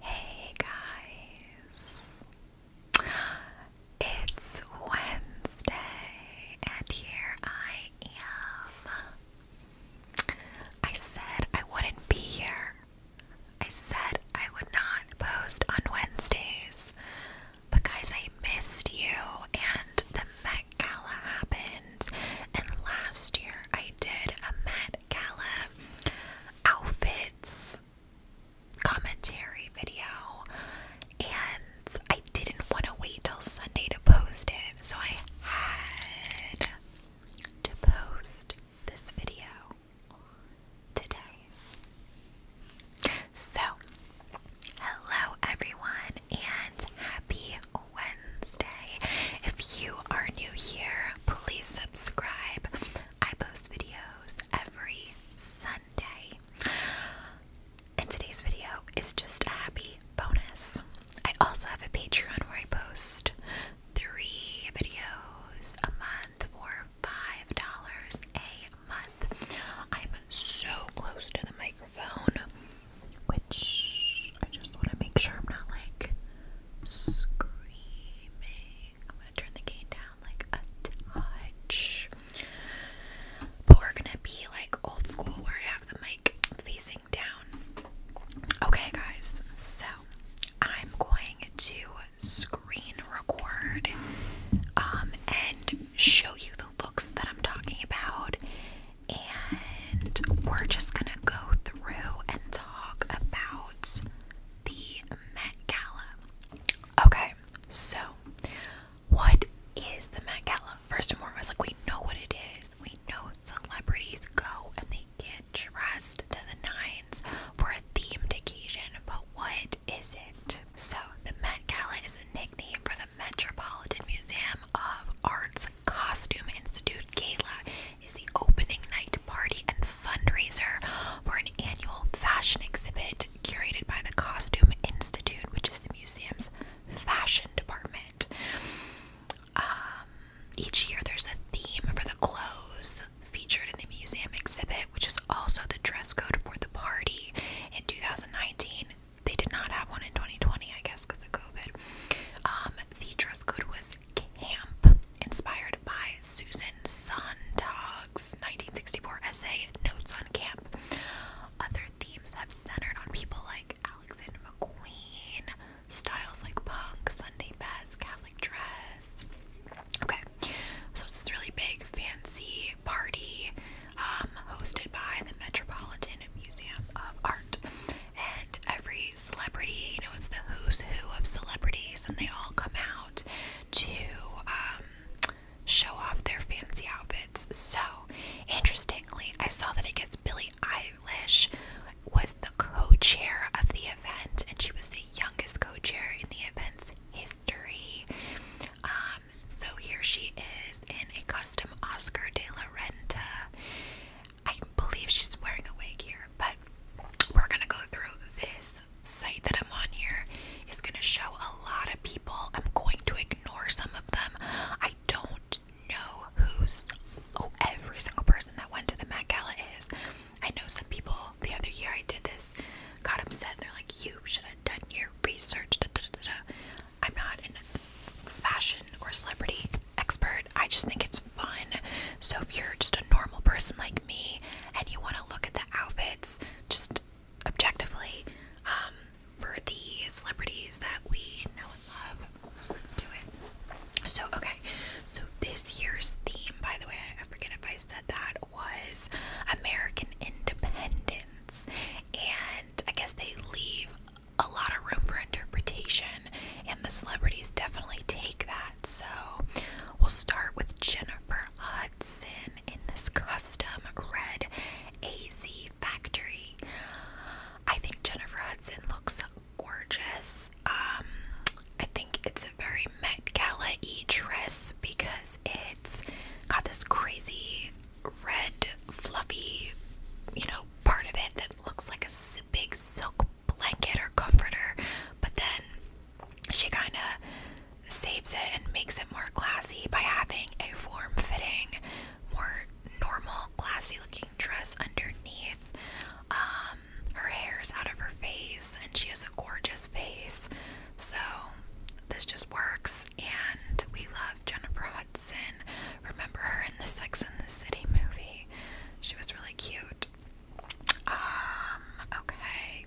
Hey guys! It's Wednesday, and here I am. I said I wouldn't be here. I said I would not post on Wednesdays. But guys, I missed you, and the Met Gala happened, and last year I did a Met Gala outfits commentary video, and I didn't want to wait till Sunday to post it, so I had to post this video today. So, hello everyone, and happy Wednesday. If you are new here, please subscribe. I post videos every Sunday. And today's video is just a happy bonus. I also have a Patreon where I post three videos a month for $5 a month. I'm so close to the microphone, which I just want to make sure I'm not like screaming. I'm gonna turn the gain down like a touch. But we're gonna be like old school where I have the mic facing down. Okay, guys, so I'm going to screen record um, and show you the looks that I'm talking about. And we're just gonna go through and talk about the Met Gala. Okay, so what is the Met Gala? First of all, I was like we know what it is. We know celebrities go and they get dressed to the nines for a themed occasion, but what is it? So the Met Gala is a nickname for the Metropolitan Museum of Art's Costume Institute Gala is the opening night party and fundraiser for an annual fashion exhibit curated by the Costume Institute, which is the museum's fashion department. Um, each year there's a theme for the clothes featured in the museum exhibit, which is also the dress code for the party in 2019. They did not have one in 2020, I guess, because of COVID. Um, the dress code was camp, inspired by Susan Sontag's 1964 essay Notes on Camp. Other themes have centered on people like Alexander McQueen, styles like punk, Sunday best, Catholic dress. Okay, so it's this really big, fancy party um, hosted by the Metropolitan Museum of Art. And every celebrity, you know, it's the who's who of celebrities, and they all come out to um, show off their fancy outfits. So, interestingly, I saw that it gets Billie Eilish was the co chair of the event, and she was the youngest co chair in the event's history. Um, so, here she is in a custom Oscar de la Renta I believe she's wearing a wig here, but we're gonna go through this site that I'm on here is gonna show a lot of people. I'm going to ignore some of them. I don't know who's oh every single person that went to the Met Gala is. I know some people the other year I did this got upset. They're like, you should have done your research. I'm not in fashion or celebrity expert. I just think it's fun. So if you're just a normal person like me and you want to look at the outfits just objectively um, for the celebrities that we know and love, let's do it. So, okay. So this year's theme, by the way, I forget if I said that, was American Independence. And I guess they leave a lot of room for interpretation, and the celebrities definitely take that. So, we'll start with Jennifer Hudson in this custom red AZ factory. I think Jennifer Hudson looks gorgeous. Um, I think it's a very Met Gala e dress because it's got this crazy red, fluffy, you know, part of it that looks like a big silk blanket or comforter, but then she kind of saves it and makes it more classy by having a form fitting, more normal, classy looking dress underneath. Um, her hair is out of her face, and she has a gorgeous face, so this just works. And we love Jennifer Hudson. Remember her in the Sex and the City movie? She was really cute. Um, okay.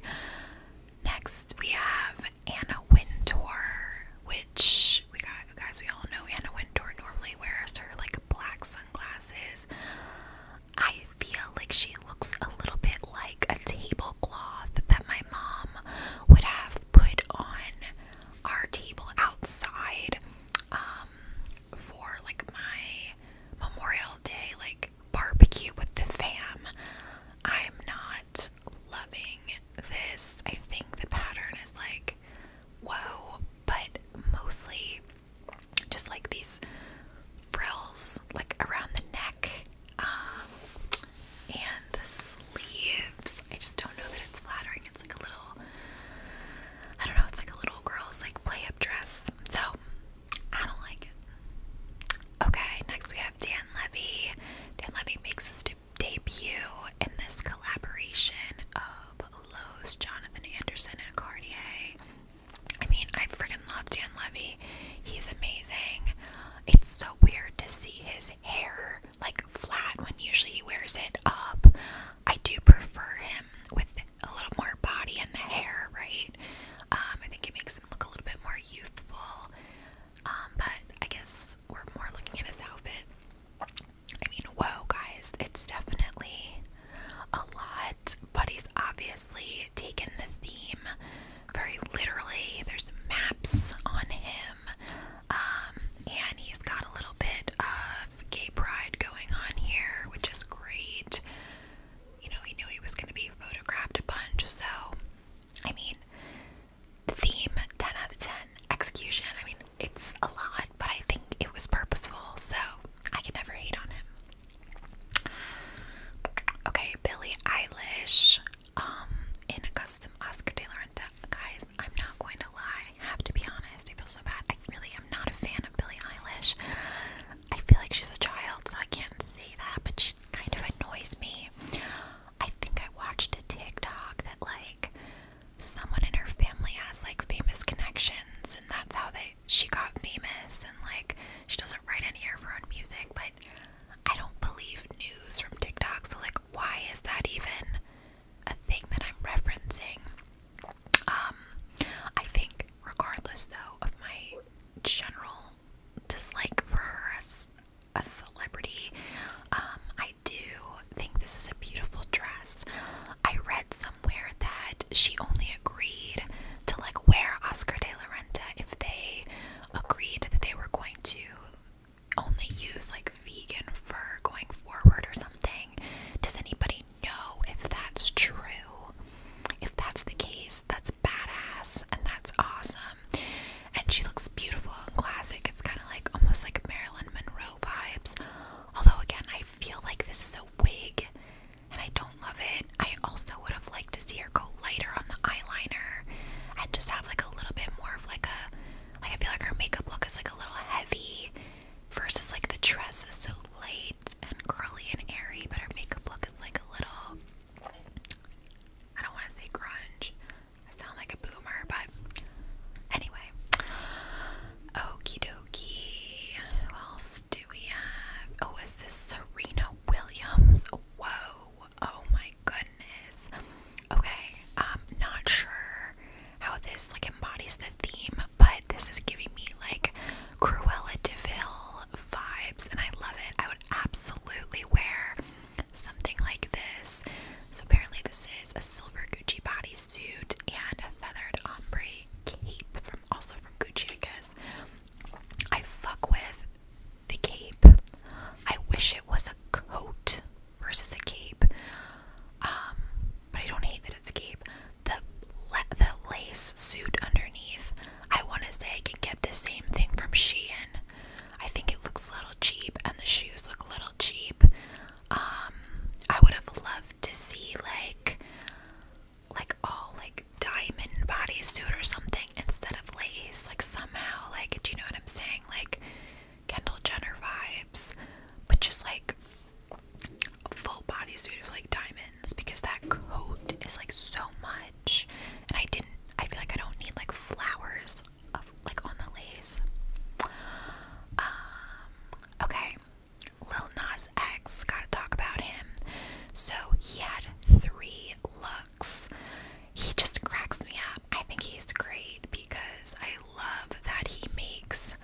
Next we have Anna Wintour, which we got guys, we all know Anna Wintour normally wears her like black sunglasses. I feel like she looks a little bit like a tablecloth that my mom would have put on our table outside. Um, for like my Memorial Day like barbecue with the fam. I'm not loving this. I think the pattern is like whoa, but mostly just like these frills like around the neck um, and the sleeves I just don't know that it's flattering. It's like a little, I don't know, it's like a little girl's like play up dress. So I don't like it. Okay, next we have Dan Levy. Dan Levy makes his debut in this collaboration of Lowe's, Jonathan Anderson, and Cartier. I mean, I freaking love Dan Levy. He's amazing. It's so weird to see his hair like flat when usually he wears it up. I do prefer him with a little more body in the hair, right? Um, I think it makes him look a little bit more youthful. Um, but I guess we're more looking at his outfit. I mean, whoa, guys, it's definitely a lot, but he's obviously taken the theme very literally. There's maps on him, um, and he's got a little bit of gay pride going on here, which is great. You know, he knew he was going to be photographed a bunch, so I mean, the theme 10 out of 10, execution. I mean, it's a lot, but I think it was purposeful, so I can never hate on him. Okay, Billie Eilish um, in a custom Oscar de la Guys, I'm not going to lie. I have to be honest. I feel so bad. I really am not a fan of Billie Eilish. I feel like she's a child, so I can't say that, but she kind of annoys me. I think I watched a TikTok that, like, someone in her family has, like, famous connections, and that's how they she got famous, and, like, she doesn't write any of her own music, but I don't believe news from TikTok, so, like, why is that even a thing that I'm referencing. Um, I think, regardless though of my general dislike for her as a celebrity, um, I do think this is a beautiful dress. I read somewhere that she only agreed to like wear Oscar de la Renta if they agreed that they were going to only use like vegan fur going forward or something. Does anybody know if that's true? If that's the case, that's badass and that's awesome. And she looks beautiful and classic. It's kind of like almost like Marilyn Monroe vibes. Although, again, I feel like this is a wig and I don't love it. I also would have liked to see her go lighter on the eyeliner and just have like a little bit more of like a like I feel like her makeup look is like a little heavy versus like the dress is so light and curly and airy, but her makeup look is like a little I don't want to say grunge. I sound like a boomer, but anyway. Okie dokie. Who else do we have? Oh, is this Serena Williams? Whoa. Oh my goodness. Okay. I'm not sure how this like embodies the theme, but this is giving me like Cruella DeVille vibes, and I love it. I would absolutely wear something like this. So apparently, this is a silver Gucci body suit and a feathered ombre cape also from Gucci, I guess. I fuck with the cape. I wish it was a coat versus a cape. Um, but I don't hate that it's cape. The the lace suit underneath. I want to say I can get the same thing from Shein. I think it looks a little cheap, and the shoes look a little cheap. Um, I would have loved to see like like all like diamond bodysuit or something instead of lace. Like somehow, like do you know what I'm saying? Like Kendall Jenner vibes, but just like full body suit of like diamonds because that coat is like so much. And I didn't, I feel like I don't need like flowers of like on the lace. Um, okay, Lil Nas X, gotta talk about him. So he had three looks he just cracks me up. I think he's great because I love that he makes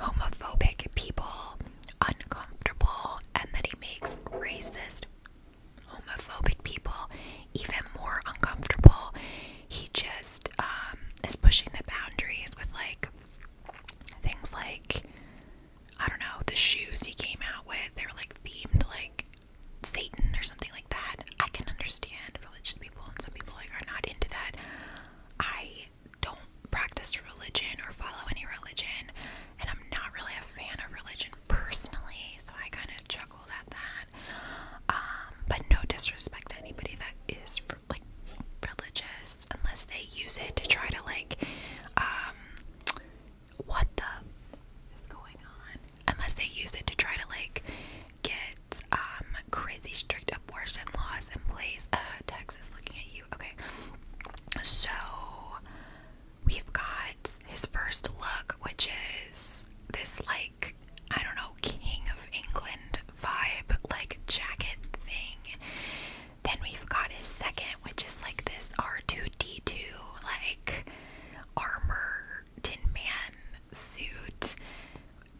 homophobic people uncomfortable and that he makes racist homophobic people even more uncomfortable. He just um, is pushing the boundaries with like things like I don't know the shoes he came out with. They are like themed like Satan or something like that. I can understand religious people and some people like are not into that. I don't practice religion or follow any religion and I'm not really a fan of religion personally, so I kind of chuckled at that. Um, but no disrespect to anybody that is like religious unless they use it to try to like um what the is going on unless they use it to try to like get um crazy strict abortion laws in place. Texas looking at you. Okay. So we've got his first look, which is this like I don't know, King of England vibe, like jacket thing. Then we've got his second, which is like this R2D2, like armor tin man suit.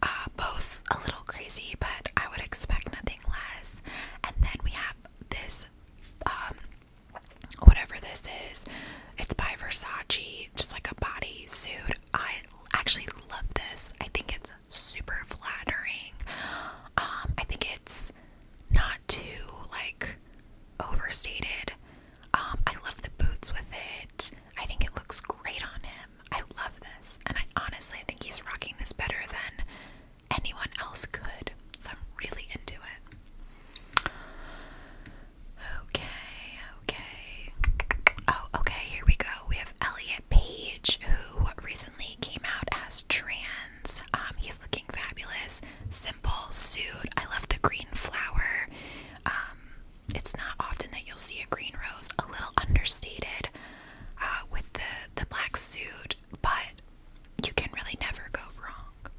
Uh, both a little crazy, but I would expect nothing less. And then we have this, um, whatever this is, it's by Versace, just like a body suit. I actually love this. I think it's super flattering. Um, I think it's not too like overstated. Um, I love the boots with it. I think it looks great on him. I love this. And I honestly think he's rocking this better than anyone else could. So I'm really into it. Okay, okay. Oh, okay, here we go. We have Elliot Page, who recently came out as trans. Um, he's looking fabulous. Simple suit. I love the green flower. Um, it's not often that you'll see a green rose, a little understated uh, with the, the black suit, but you can really never go wrong.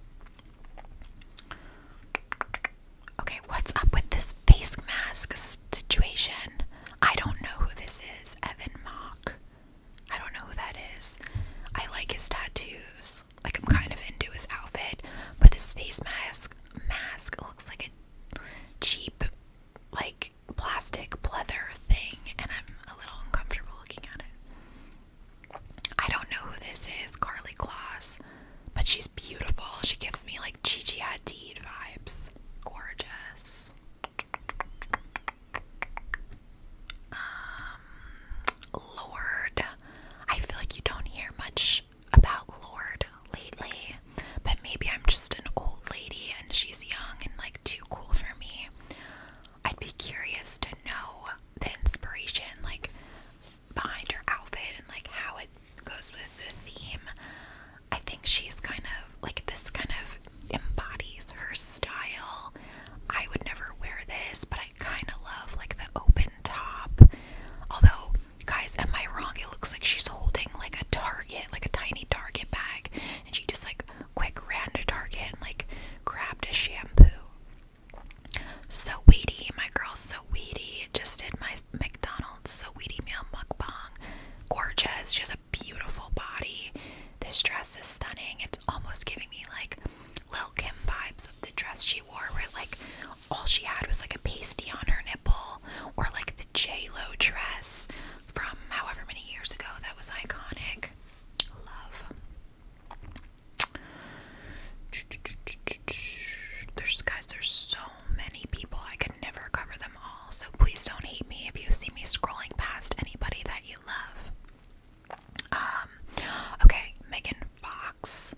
Okay, what's up with this face mask situation? I don't know who this is, Evan Mock. I don't know who that is. I like his tattoos. Like I'm kind of into his outfit, but this face mask mask looks like a cheap like plastic pleather thing and I'm a little uncomfortable looking at it. I don't know who this is, Carly Kloss, but she's beautiful. She gives me like Gigi Hadid vibes. Gorgeous. Um Lord. I feel like you don't hear much about Lord lately, but maybe I'm just an old lady and she's young and like too cool for me. I'd be curious to know the inspiration, like behind her outfit and like how it goes with the theme. I think she's kind of like this kind of embodies her style. I would never wear this, but I kind of love like the open top. Although, guys, am I wrong? It looks like she's holding like a Target, like a tiny Target bag, and she just like quick ran to Target and like grabbed a shampoo. So weedy, my girl, so weedy. Just did my McDonald's so weedy meal mukbang. Gorgeous, she has a beautiful body. This dress is stunning. It's almost giving me like Lil Kim vibes of the dress she wore, where like all she had was like a pasty on her nipple, or like the J Lo dress from however many years ago that was iconic. Love. There's guys, there's so many people. I could never cover them all. So please don't hate me if you see me scrolling past anybody that you love. Um, okay, Megan Fox.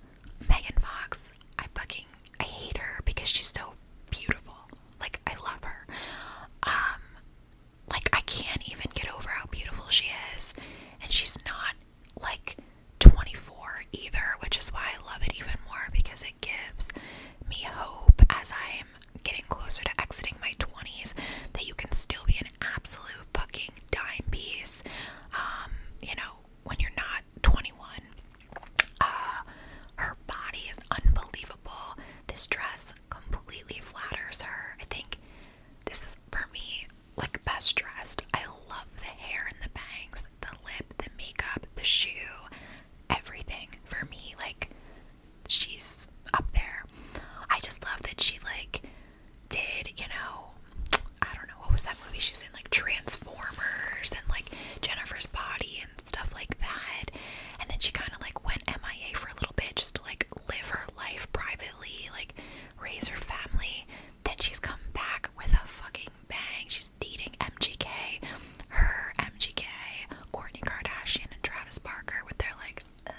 Megan Fox, I fucking I hate her because she's so beautiful. Like I love her. Um like I can't even get over how beautiful she is. And she's not like 24 either, which is why I love it even more because it gives me hope as I'm getting closer to exiting my 20s that you can still be an absolute fucking dime piece. Um, you know, when you're not 21. Uh, her body is unbelievable. This dress completely flatters her. I think this is for me like best dressed. I love the hair and the bangs, the lip, the makeup, the shoe, everything. For me, like she's up there. I just love that she like did, you know, I don't know, what was that movie she was in? Like Transformers and like Jennifer's Body and stuff like that. And then she kind of like went MIA for a little bit just to like live her life privately, like raise her family. Then she's come back with a fucking bang. She's dating MGK, her MGK, Kourtney Kardashian, and Travis Barker with their like. Uh,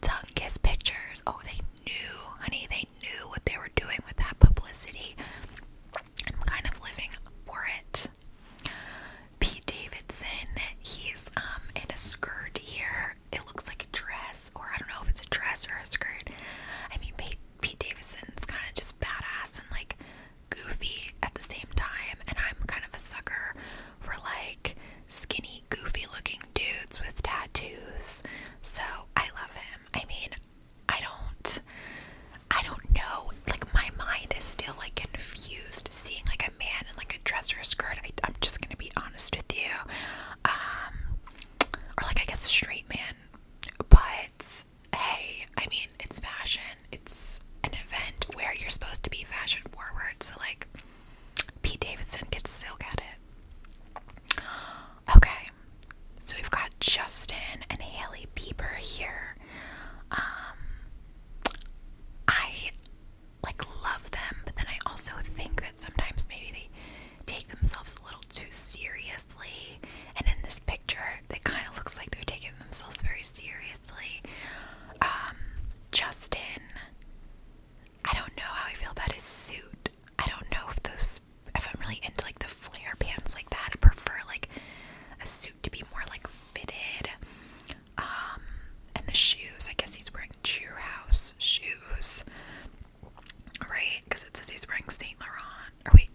tongue kiss pictures. Oh, they knew, honey, they knew what they were doing with that publicity. I'm kind of living for it. Pete Davidson, he's um in a skirt here. It looks like a dress, or I don't know if it's a dress or a skirt. I mean, Pete, Pete Davidson's kind of just badass and like goofy at the same time, and I'm kind of a sucker for like skinny goofy looking dudes with tattoos. So I love him. I mean, I don't I don't know. Like my mind is still like confused seeing like a man in like a dress or a skirt. I, I'm just gonna be honest with you. Um or like I guess a straight man. But hey, I mean it's fashion. It's an event where you're supposed to be fashion forward. So like Pete Davidson could still get it. Okay, so we've got Justin and Haley Bieber here. Um, I like love them, but then I also think that sometimes maybe they take themselves a little too seriously. And in this picture, it kind of looks like they're taking themselves very seriously. Um, Justin I don't know how I feel about his suit. I don't know if those if I'm really into like the flare pants like that. I prefer like a suit to be more like fitted. Um and the shoes, I guess he's wearing True House shoes. Right? Because it says he's wearing Saint Laurent. Or wait,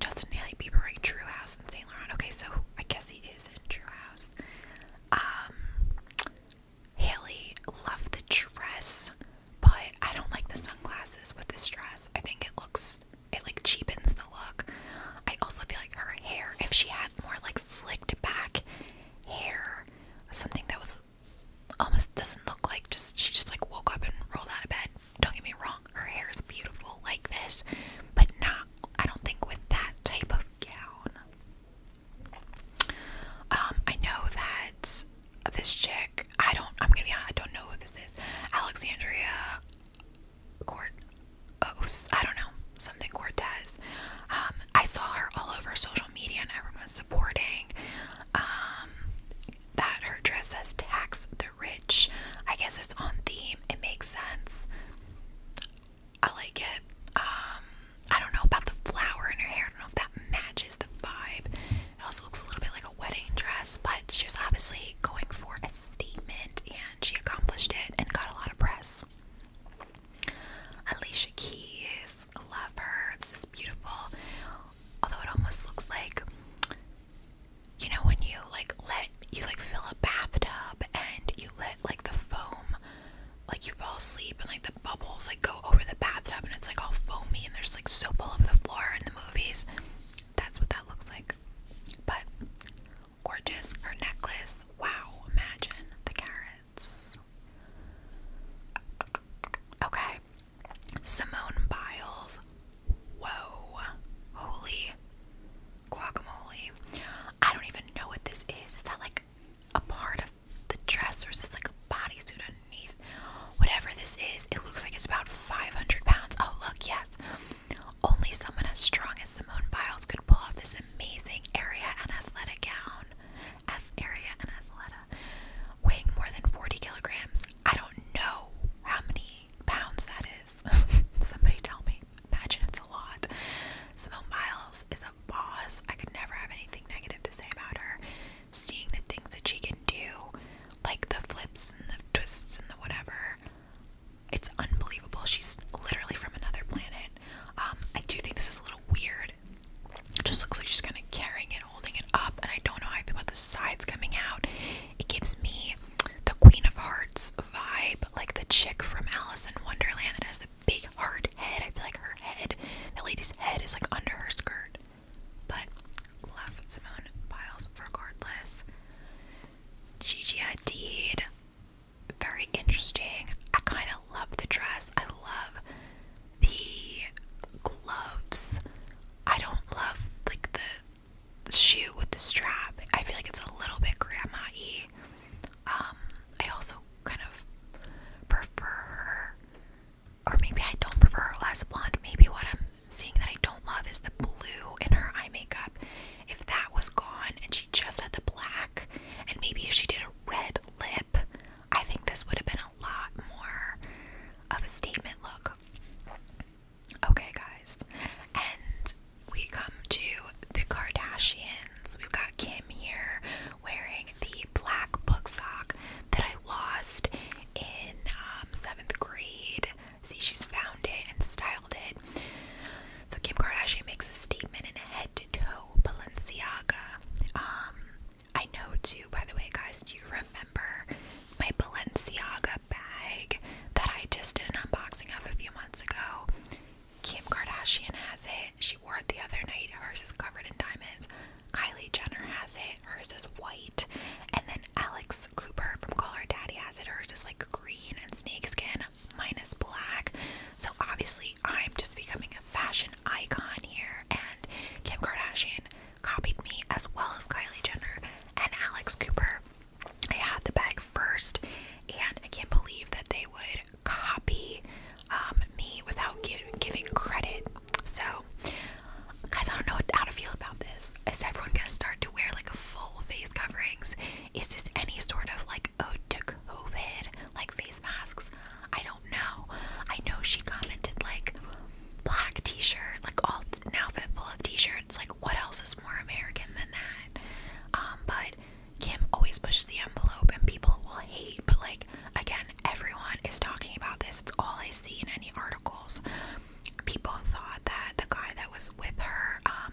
Justin Haley Bieber wearing True House and Saint Laurent. Okay, so I guess he is in True House. Um, Haley loved the dress, but I don't like the sunglasses with the dress. I think it looks it like cheapens the look. I also feel like her hair, if she had more like slicked back hair, something that was almost doesn't look like just she just like woke up and rolled out of bed. Don't get me wrong, her hair is beautiful like this, but not I don't think with that type of gown. Um, I know that this chick, I don't, I'm gonna be honest, I don't know who this is. Alexandria Court, I don't know, something Cortez. Um, I saw her all over social media and everyone was supporting. Um, that her dress says tax the rich. I guess it's on theme, it makes sense. I like it. Um, I don't know about the flower in her hair. I don't know if that matches the vibe. It also looks a little bit like a wedding dress, but she was obviously going for a statement and she accomplished it and got a lot of press. Alicia Keys, love her. This is beautiful. Although it almost looks like you know when you like let you like fill a bathtub and you let like the foam like you fall asleep and like the bubbles like go over the bathtub and it's like all foamy and there's like soap all over the floor in the movies. That's what that looks like. But gorgeous. Her necklace. Wow, imagine the carrots. Okay. Simone Biles. Whoa. Holy guacamole. I don't even know what this is. Is that like a part of the dress, or is this like a bodysuit underneath? Whatever this is, it looks like it's about 500 pounds. Oh, look, yes. Only someone as strong as Simone Biles could pull off this amazing area and athletic gown. F area and athleta. Weighing more than 40 kilograms. I don't know how many pounds that is. Somebody tell me. Imagine it's a lot. Simone Biles is a boss. I could never have anything negative to say about her. Seeing the things that she can do, like the flips and the twists and the whatever, it's unbelievable. She's literally from another planet. Um, I do think this is a little weird. It just looks like she's gonna carrying it, holding it up, and I don't know how I feel about the sides coming out. It gives me the Queen of Hearts vibe, like the chick from Alice in Wonderland big hard head. I feel like her head, the lady's head, is like under her skirt. But love Simone Biles regardless. Gigi Hadid, very interesting. I kind of love the dress. I love the gloves. I don't love like the shoe with the strap. I feel like it's a little bit grandma-y. Um, I also kind of prefer her, or maybe I don't prefer her less blonde. Maybe what I'm seeing that I don't love is the blue in her eye makeup. If that was gone and she just had the black, and maybe if she did a red lip, I think this would have been a lot more of a statement look. Okay, guys, and we come to the Kardashians. We've got Kim here wearing the black book sock that I lost in um, seventh grade. See, she's found it and styled it. So Kim Kardashian makes a statement in head to toe Balenciaga. Um, I know too, by the way, guys. Do you remember my Balenciaga bag that I just did an unboxing of a few months ago? Kim Kardashian has it. She wore it the other night. Hers is covered in diamonds. Kylie Jenner has it. Hers is white. And then Alex Cooper from Call Her Daddy has it. Hers is like green and snakeskin. minus black. So obviously, I'm just becoming a fashion icon here. And Kim Kardashian copied me as well as Kylie Jenner and Alex Cooper. I had the bag first, and I can't believe that they would copy um, me without giving credit. So, guys, I don't know how to feel about this. Is everyone gonna start to wear like full face coverings? Is this any sort of like ode oh, to COVID, like face masks? I don't know. I know she commented like black t-shirt, like all an outfit full of t-shirts. Like, what else is more American than that? Um, but Kim always pushes the envelope and people will hate, but like again, everyone is talking about this. It's all I see in any articles. People thought that the guy that was with her um,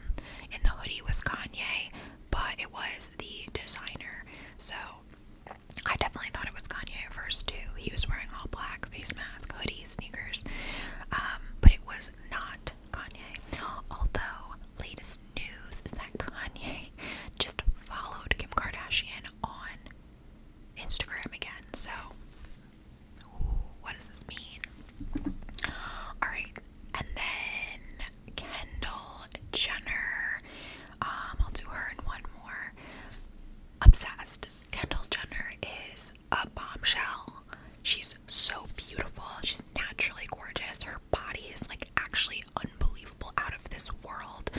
in the hoodie was Kanye, but it was the designer. So I definitely thought it was Kanye at first too. He was wearing all black, face mask, hoodie, sneakers, um, but it was not Kanye. Although latest news is that Kanye just followed Kim Kardashian on Instagram again. So, what does this mean? Alright, and then Kendall Jenner. Um, I'll do her in one more. Obsessed. Kendall Jenner is a bombshell. She's so beautiful. She's naturally gorgeous. Her body is like actually unbelievable out of this world.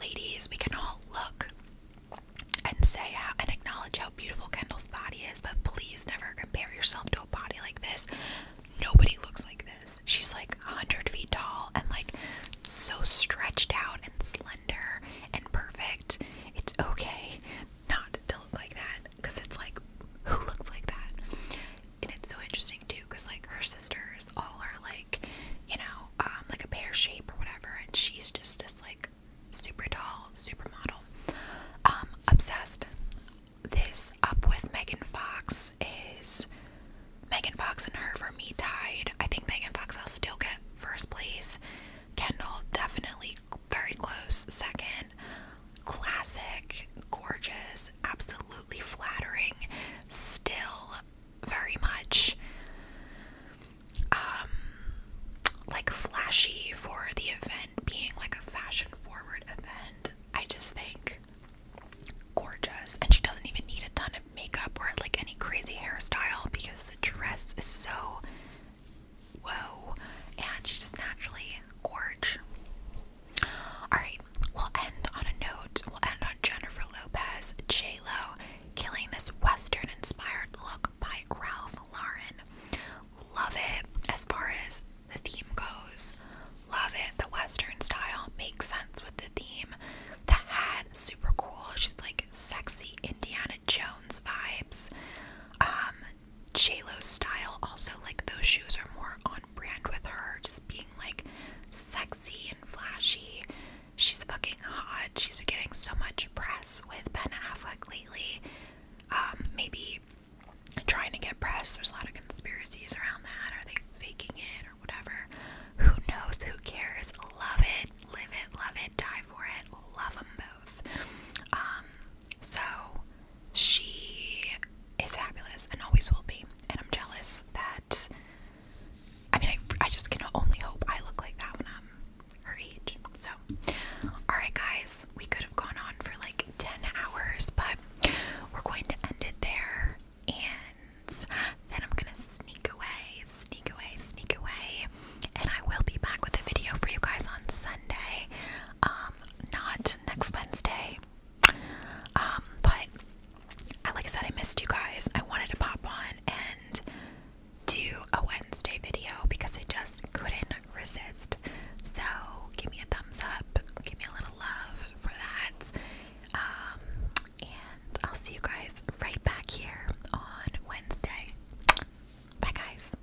Ladies, we can all look and say how, and acknowledge how beautiful Kendall's body is, but please never compare yourself to a body like this. Nobody looks like this. She's like 100 feet tall and like so stretched out and slender and perfect. It's okay not to look like that because it's like, who looks like that? And it's so interesting too, because like her sisters all are like, you know, um, like a pear shape or whatever, and she's just this like super tall supermodel. Um, obsessed. This up with Megan Fox is Megan Fox and her for me tied. I think Megan Fox will still get first place. Kendall definitely very, close second. Classic, gorgeous, absolutely flattering, still very much um like flashy for the event being like a fashion forward event. I just think gorgeous and she doesn't even need a ton of makeup or like any crazy hairstyle because the dress is so whoa, and she just naturally gorge. Alright, we'll end on a note. We'll end on Jennifer Lopez, J Lo, killing this Western inspired look by Ralph Lauren. Love it as far as the theme goes. Love it. The Western style makes sense with the theme. The hat, super cool. She's like sexy Indiana Jones vibes. Um, JLo style. Also, like those shoes are more on brand with her, just being like sexy and flashy. She's fucking hot. She's been getting so much press with Ben Affleck lately. Um, maybe trying to get press. There's a lot of conspiracies around that. Are they faking it or whatever? Who knows? Who cares? Love it, live it, love it, die for it. Love them both. Um, so she is fabulous and always will be. And I'm jealous that. I mean, I, I just can only hope I look like that when I'm her age. So, alright, guys, we could have gone on for like 10 hours, but we're going to end it there. And then I'm gonna sneak away, sneak away, sneak away. And I will be back with a video for you guys on Sunday. Um, not next Wednesday. Um, but I, like said, I missed you guys. I wanted to pop on and do a Wednesday video because I just couldn't resist. So give me a thumbs up, give me a little love for that. Um, and I'll see you guys right back here on Wednesday. Bye, guys.